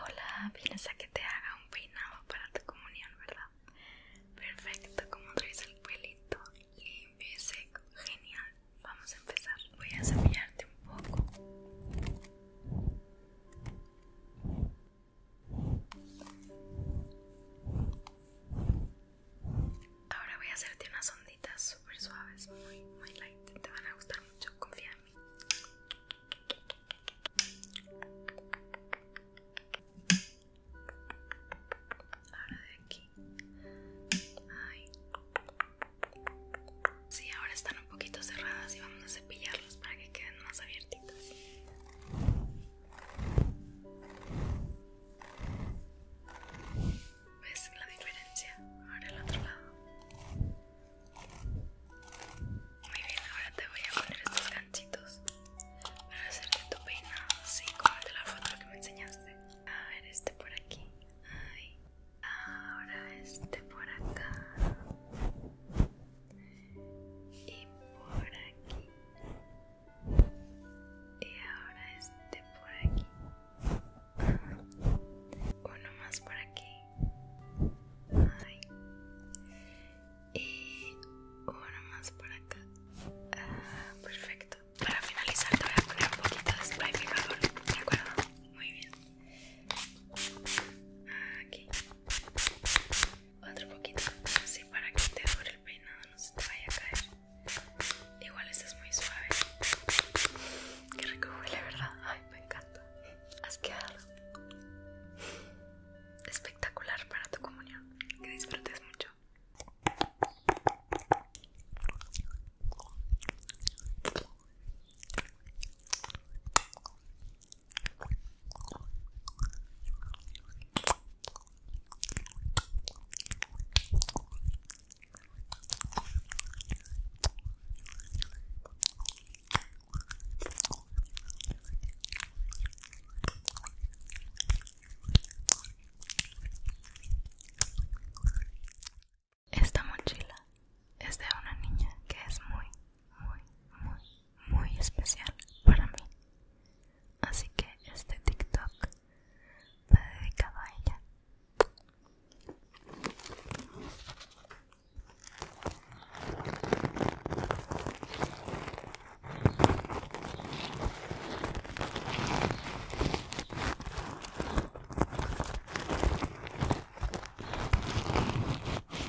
Hola, vienes a que te haga un peinado para tu comunión, ¿verdad? Perfecto, como traes el pelito limpio y seco, genial. Vamos a empezar. Voy a cepillarte un poco. Ahora voy a hacerte unas onditas súper suaves, muy, muy light. Te van a gustar mucho, confía en mí. Ahora de aquí. Ay. Sí, ahora están un poquito cerradas y vamos a cepillarlas para que queden más abiertas. ¿Ves la diferencia? Ahora el otro lado. Muy bien, ahora te voy a poner estos ganchitos para hacerte tu peinado, así como de la foto que me enseñaste. A ver, este por aquí. Ahora este por acá y por aquí y ahora este por aquí uno más por aquí y uno más por acá ah, perfecto para finalizar te voy a poner un poquito de spray fijador de muy bien aquí otro poquito, así para que te dure el peinado, no se te vaya a caer. Igual estás es muy suave. Qué rico huele, ¿verdad? Ay, me encanta. Has quedado espectacular para tu comunión. Que disfrutes mucho. Esta mochila es de una niña que es muy muy, muy, muy especial para mí. Así que este TikTok va dedicado a ella.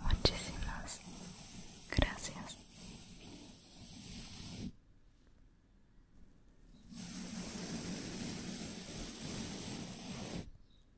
Muchísimas gracias.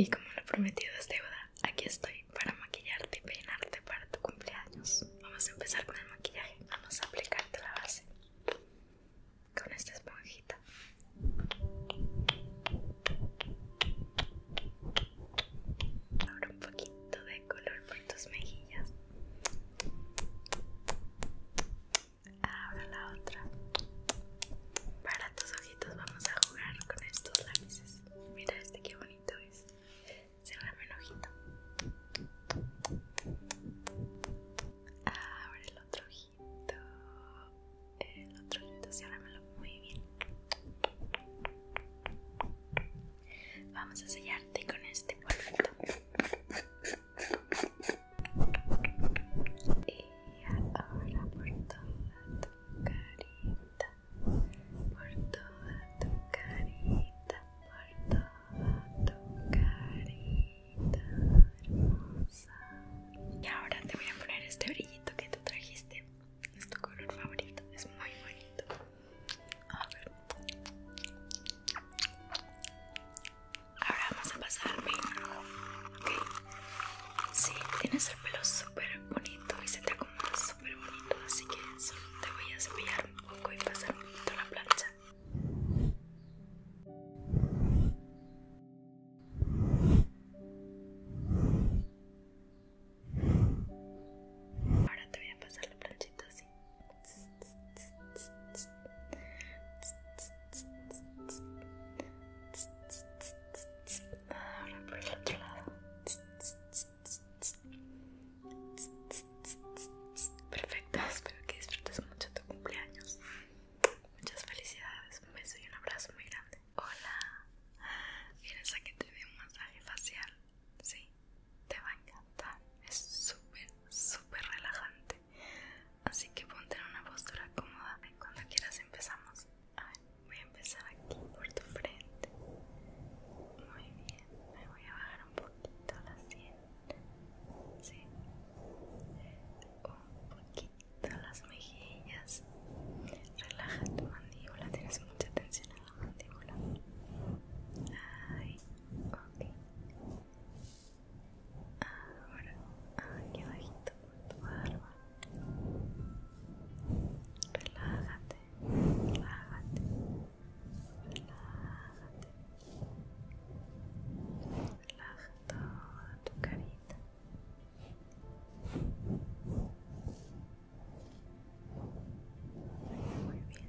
Y como lo prometido es deuda, aquí estoy para maquillarte y peinarte para tu cumpleaños. Vamos a empezar con el maquillaje. Vamos a aplicarte la base con esta esponjita. Ahora un poquito de color por tus mejillas. Ahora la otra. Para tus ojitos vamos a jugar con estos lápices. Mira este que bonito es. Cerrame el ojito. Abre el otro ojito. El otro ojito, ciérramelo muy bien. Vamos a sellarte con este polvito. Y ahora por toda tu carita, por toda tu carita, por toda tu carita hermosa. Y ahora te voy a poner este brillito que tú trajiste. Es tu color favorito, es muy bonito. A ver. Ahora vamos a pasarme. Ok. Sí, tienes el pelo súper bonito y se te acomoda súper bonito. Así que solo te voy a cepillar un poco y pasar un poquito la plancha. Ahora te voy a pasar la planchita así Ahora por el otro lado. Perfecto, espero que disfrutes mucho tu cumpleaños. Muchas felicidades, un beso y un abrazo muy grande. Hola, ¿vienes a que te dé un masaje facial? Sí, te va a encantar es súper súper relajante así que ponte en una postura cómoda y cuando quieras empezamos a ver, voy a empezar aquí por tu frente muy bien me voy a bajar un poquito la sien ¿sí? un poquito las mejillas relaja tu mandíbula tienes mucha tensión en la mandíbula Ay, ok Ahora aquí abajito tu barba. Relájate, relájate, relájate. relájate tu carita. Muy bien.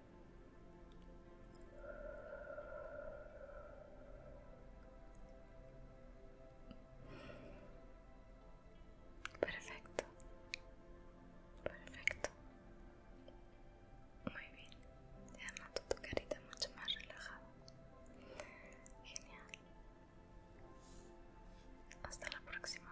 Perfecto. Perfecto. Muy bien. Ya noto tu carita mucho más relajada. Genial. Hasta la próxima.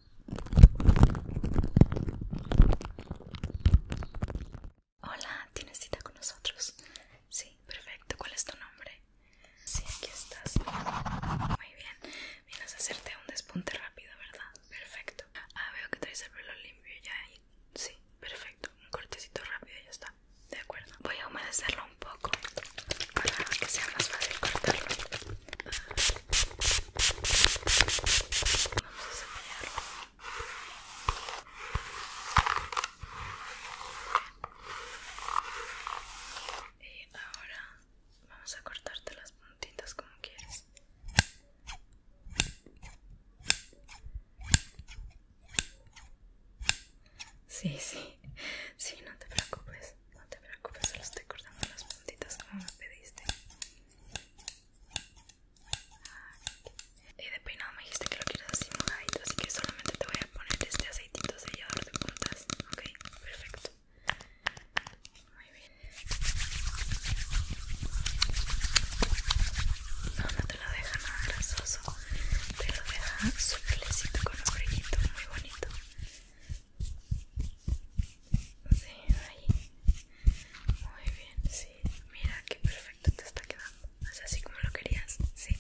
Hola, ¿tienes cita con nosotros? Sí, perfecto. ¿Cuál es tu nombre? Sí, aquí estás. Muy bien. Vienes a hacerte un despunte rápido, ¿verdad? Perfecto. Ah, veo que traes el pelo limpio ya ahí. Sí, perfecto. Un cortecito rápido ya está. De acuerdo. Voy a humedecerlo un poco para que sea más fácil cortarlo y ahora vamos a cortarte las puntitas como quieras sí sí sí no te preocupes no te preocupes, solo estoy cortando las puntitas como me pediste. Y de peinado me dijiste que lo quieres así mojadito, así que solamente te voy a poner este aceitito sellador de puntas. Ok, perfecto. Muy bien. No, no te lo deja nada grasoso. Te lo deja lecito con un brillito muy bonito. Sí, ahí. Muy bien, sí. Mira qué perfecto te está quedando. Es así como lo querías. Sí,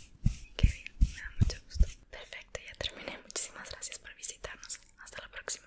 qué bien. Me da mucho gusto. Perfecto, ya terminé. Muchísimas gracias por visitarnos. Hasta la próxima.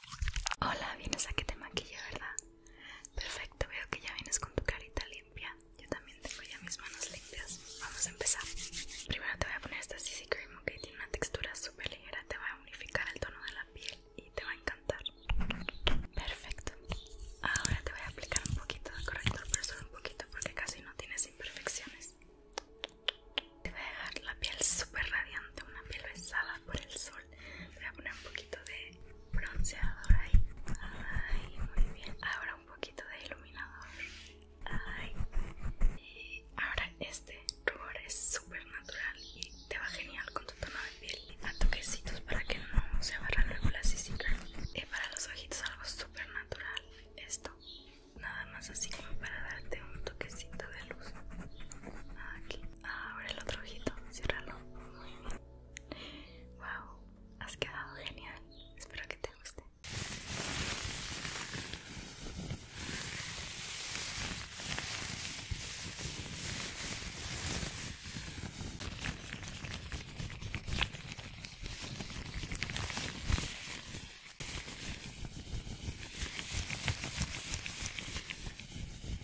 Hola, vienes a que te maquille, ¿verdad? Perfecto, veo que ya vienes con tu carita limpia. Yo también tengo ya mis manos limpias. Vamos a empezar. Primero te voy a poner esta CC Cream, que tiene una textura súper ligera. Te va a unificar el tono de la piel y te va a encantar. Perfecto. Ahora te voy a aplicar un poquito de corrector, pero solo un poquito porque casi no tienes imperfecciones. Te voy a dejar la piel súper radiante, una piel besada por el sol. Voy a poner un poquito de bronceador ahí. Ay, muy bien. Ahora un poquito de iluminador. Ay. Y ahora este rubor es súper natural y te va genial con tu tono de piel. A toquecitos para que no se agarra luego la CC Y para los ojitos algo súper natural. Esto. Nada más así como para darte un toquecito de luz. Aquí. Abre el otro ojito, ciérralo. Wow, has quedado genial. Espero que te guste.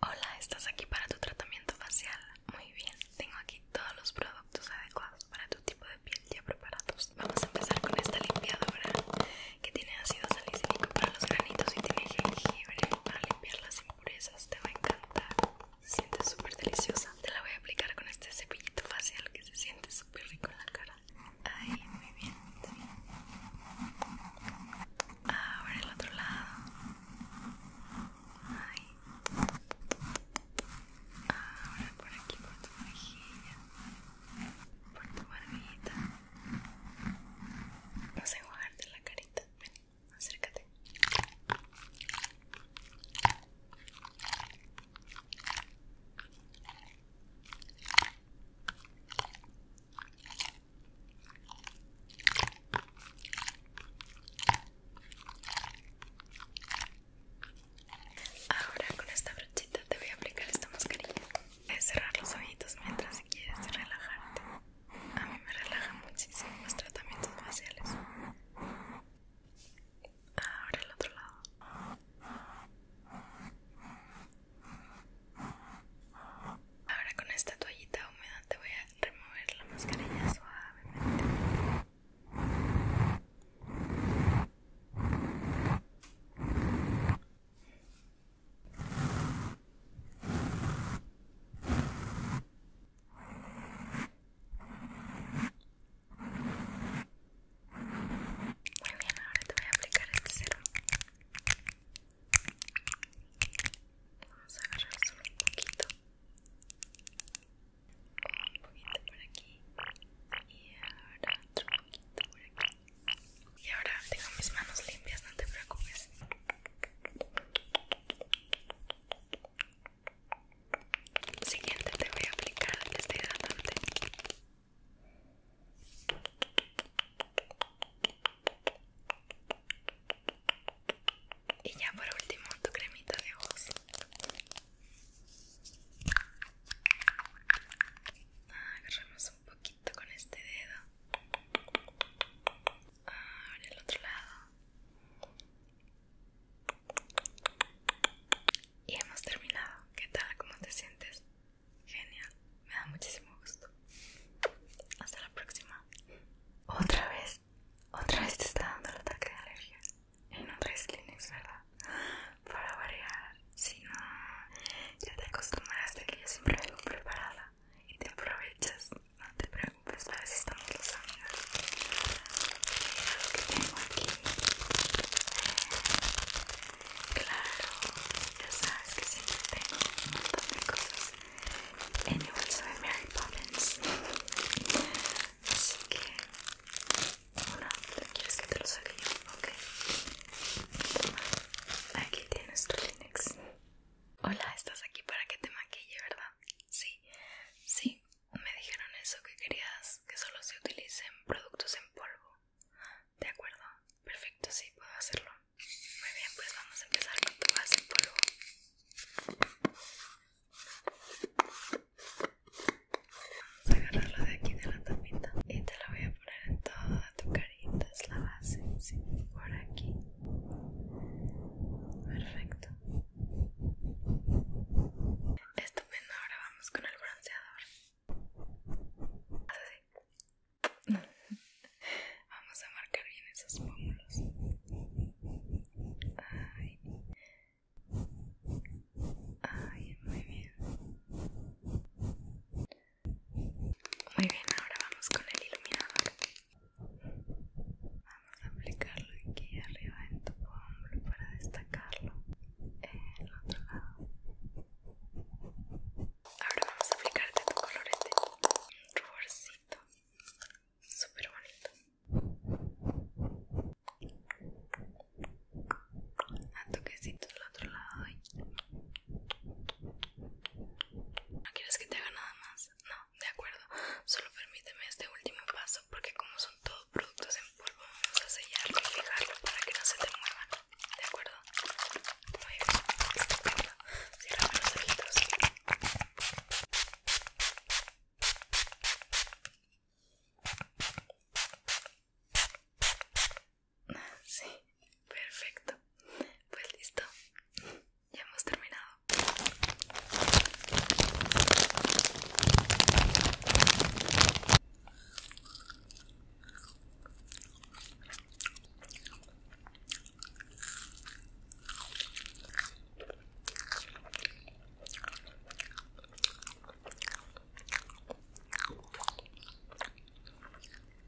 Hola, ¿estás aquí para tu tratamiento facial? Muy bien, tengo aquí todos los productos adecuados para tu tipo de piel ya preparados. Vamos a empezar con esta limpiadora que tiene ácido salicílico para los granitos y tiene jengibre para limpiar las impurezas. Te va a encantar. Se siente súper deliciosa. Te la voy a aplicar con este cepillito facial que se siente súper rico en la cara. Ahí, muy bien. Ahora el otro lado. Ahí. Ahora por aquí por tu mejilla por tu barbillita. Vamos a enjuagarte la carita. Ven, acércate. Ahora con esta brochita te voy a aplicar esta mascarilla es cerrar los ojitos mientras quieres relajarte. A mí me relajan muchísimo los tratamientos faciales. Ahora el otro lado. Ahora con esta toallita húmeda te voy a remover la mascarilla suavemente. Muy bien, ahora te voy a aplicar este serum. Vamos a agarrar solo un poquito. Un poquito por aquí. Y ahora otro poquito por aquí. Y ahora tengo mis manos limpias, no te preocupes. Siguiente te voy a aplicar este hidratante Y ya por último tu cremita de ojos. Agarramos un poquito con este dedo. Ahora el otro lado. Y hemos terminado. ¿Qué tal? ¿Cómo te sientes? Genial. Me da muchísimo gusto. Hasta la próxima. Otra vez. Otra vez te está dando el ataque de alergia. En otra traes ¿verdad? Para variar. Si no, ya te acostumbras de que yo siempre vengo preparada y te aprovechas. No te preocupes, para si estamos los amigos. que tengo aquí. Claro, ya sabes que siempre tengo un montón de cosas en el Mary Poppins. Así que, bueno, ¿quieres que te lo saque yo? Ok. Aquí tienes tu linux Hola, estás aquí para que te maquille, ¿verdad? Sí, sí, me dijeron eso que querías que solo se utilicen productos en polvo. De acuerdo, perfecto, sí, puedo hacerlo. Muy bien, pues vamos a empezar con tu base en polvo. Vamos a agarrarlo de aquí de la tapita y te lo voy a en toda tu carita, es la base, por aquí. Perfecto. Estupendo, ahora vamos con el bronceador. Así. Vamos a marcar bien esos pómulos. Ay, muy bien. Muy bien, ahora vamos con el iluminador. Vamos a aplicarlo aquí arriba en tu hombro para destacarlo en el otro lado. Ahora vamos a aplicarte tu colorete. Ruborcito. Súper bonito. A toquecito del otro lado ¿No quieres que te haga nada más? No, de acuerdo. Solo permíteme este último paso porque como son todos productos en polvo vamos a sellarlo y fijarlo para que no se te muevan. ¿De acuerdo? Muy bien. Este los Sí, perfecto. Pues listo, ya hemos terminado.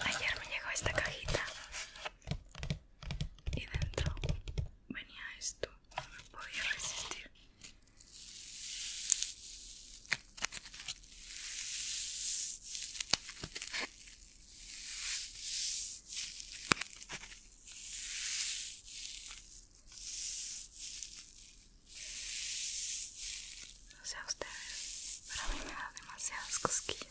Ayer me llegó esta cajita y dentro venía esto, no me podía resistir. No sé a ustedes, pero a mí me da demasiadas cosquillas.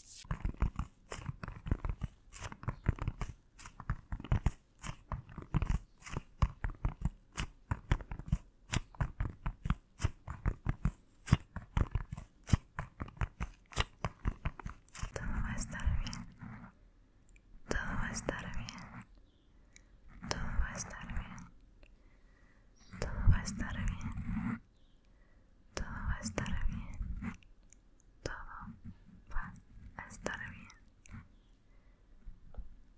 Todo va a estar bien. Todo va a estar bien. Todo va a estar bien. Todo va a estar bien. Todo va a estar bien. Todo va a estar bien.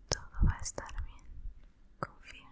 Todo va a estar bien. Confía.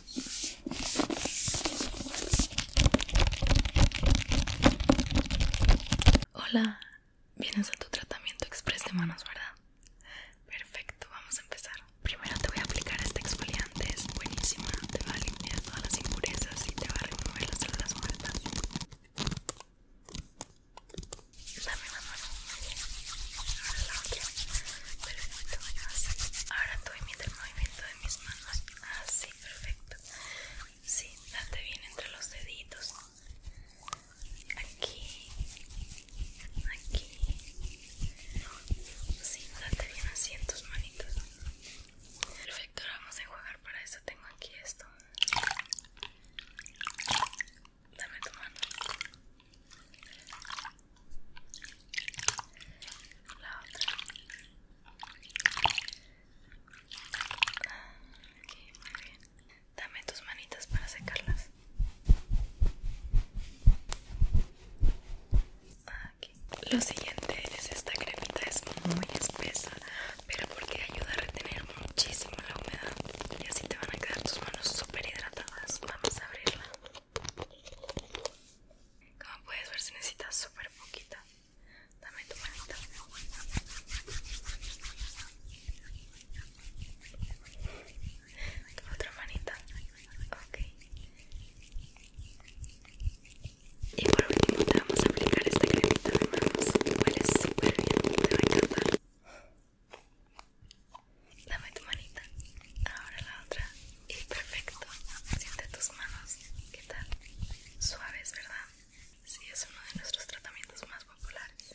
Hola, vienes a tu tratamiento express de manos, ¿verdad? Perfecto, vamos a empezar. Primero te voy a aplicar este exfoliante, es buenísimo, te va a limpiar todas las impurezas y te va a remover las células muertas. Dame la mano. Ahora la otra. Ahora tú el movimiento mis manos. Así, ah, perfecto. Sí, date bien entre los deditos. Aquí, aquí. Sí, date bien así en tus manitos. Perfecto, ahora vamos a enjuagar. Para eso tengo aquí esto. Dame tu mano la otra muy dame tus manitas para secarlas aquí. lo siguiente es esta cremita es muy espesa pero porque ayuda a retener muchísimo la humedad y así te van a quedar tus manos súper hidratadas vamos a abrirla como puedes ver se necesita súper poquita. Dame tu manita. Tu otra manita. Ok. Y por último te vamos a aplicar este cremita de Huele súper bien, te va a encantar. Dame tu manita. Ahora la otra. Y perfecto, siente tus manos, ¿qué tal? Suaves, ¿verdad? Sí, es uno de nuestros tratamientos más populares.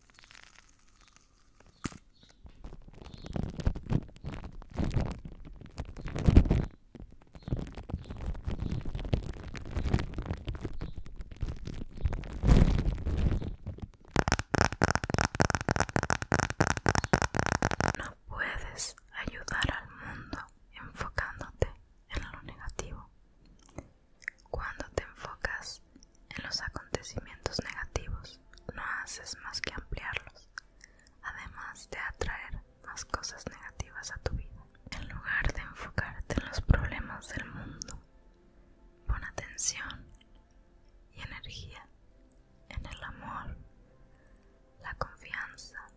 No puedes ayudar al mundo enfocándote en lo negativo. Cuando te enfocas en los acontecimientos negativos, no haces más que ampliarlos, además de atraer más cosas negativas a tu vida. En lugar de enfocarte en los problemas del mundo, pon atención y energía en el amor, la confianza,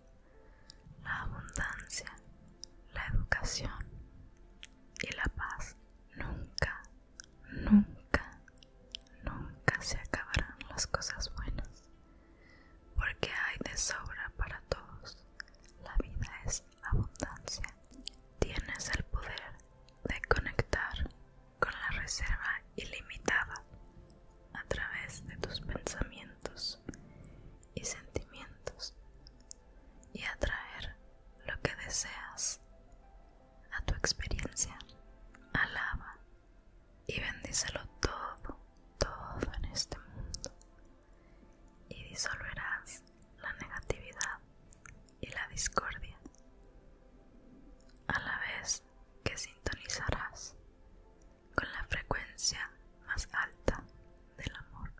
la abundancia, la educación, y la paz nunca, nunca, nunca se acabarán las cosas buenas, porque hay de sobra para todos. La vida es abundancia. Tienes el poder de conectar con la reserva ilimitada a través de tus pensamientos y sentimientos y atraer lo que deseas a tu experiencia. Alaba y bendícelo todo, todo en este mundo. Y disolverás la negatividad y la discordia, a la vez que sintonizarás con la frecuencia más alta del amor.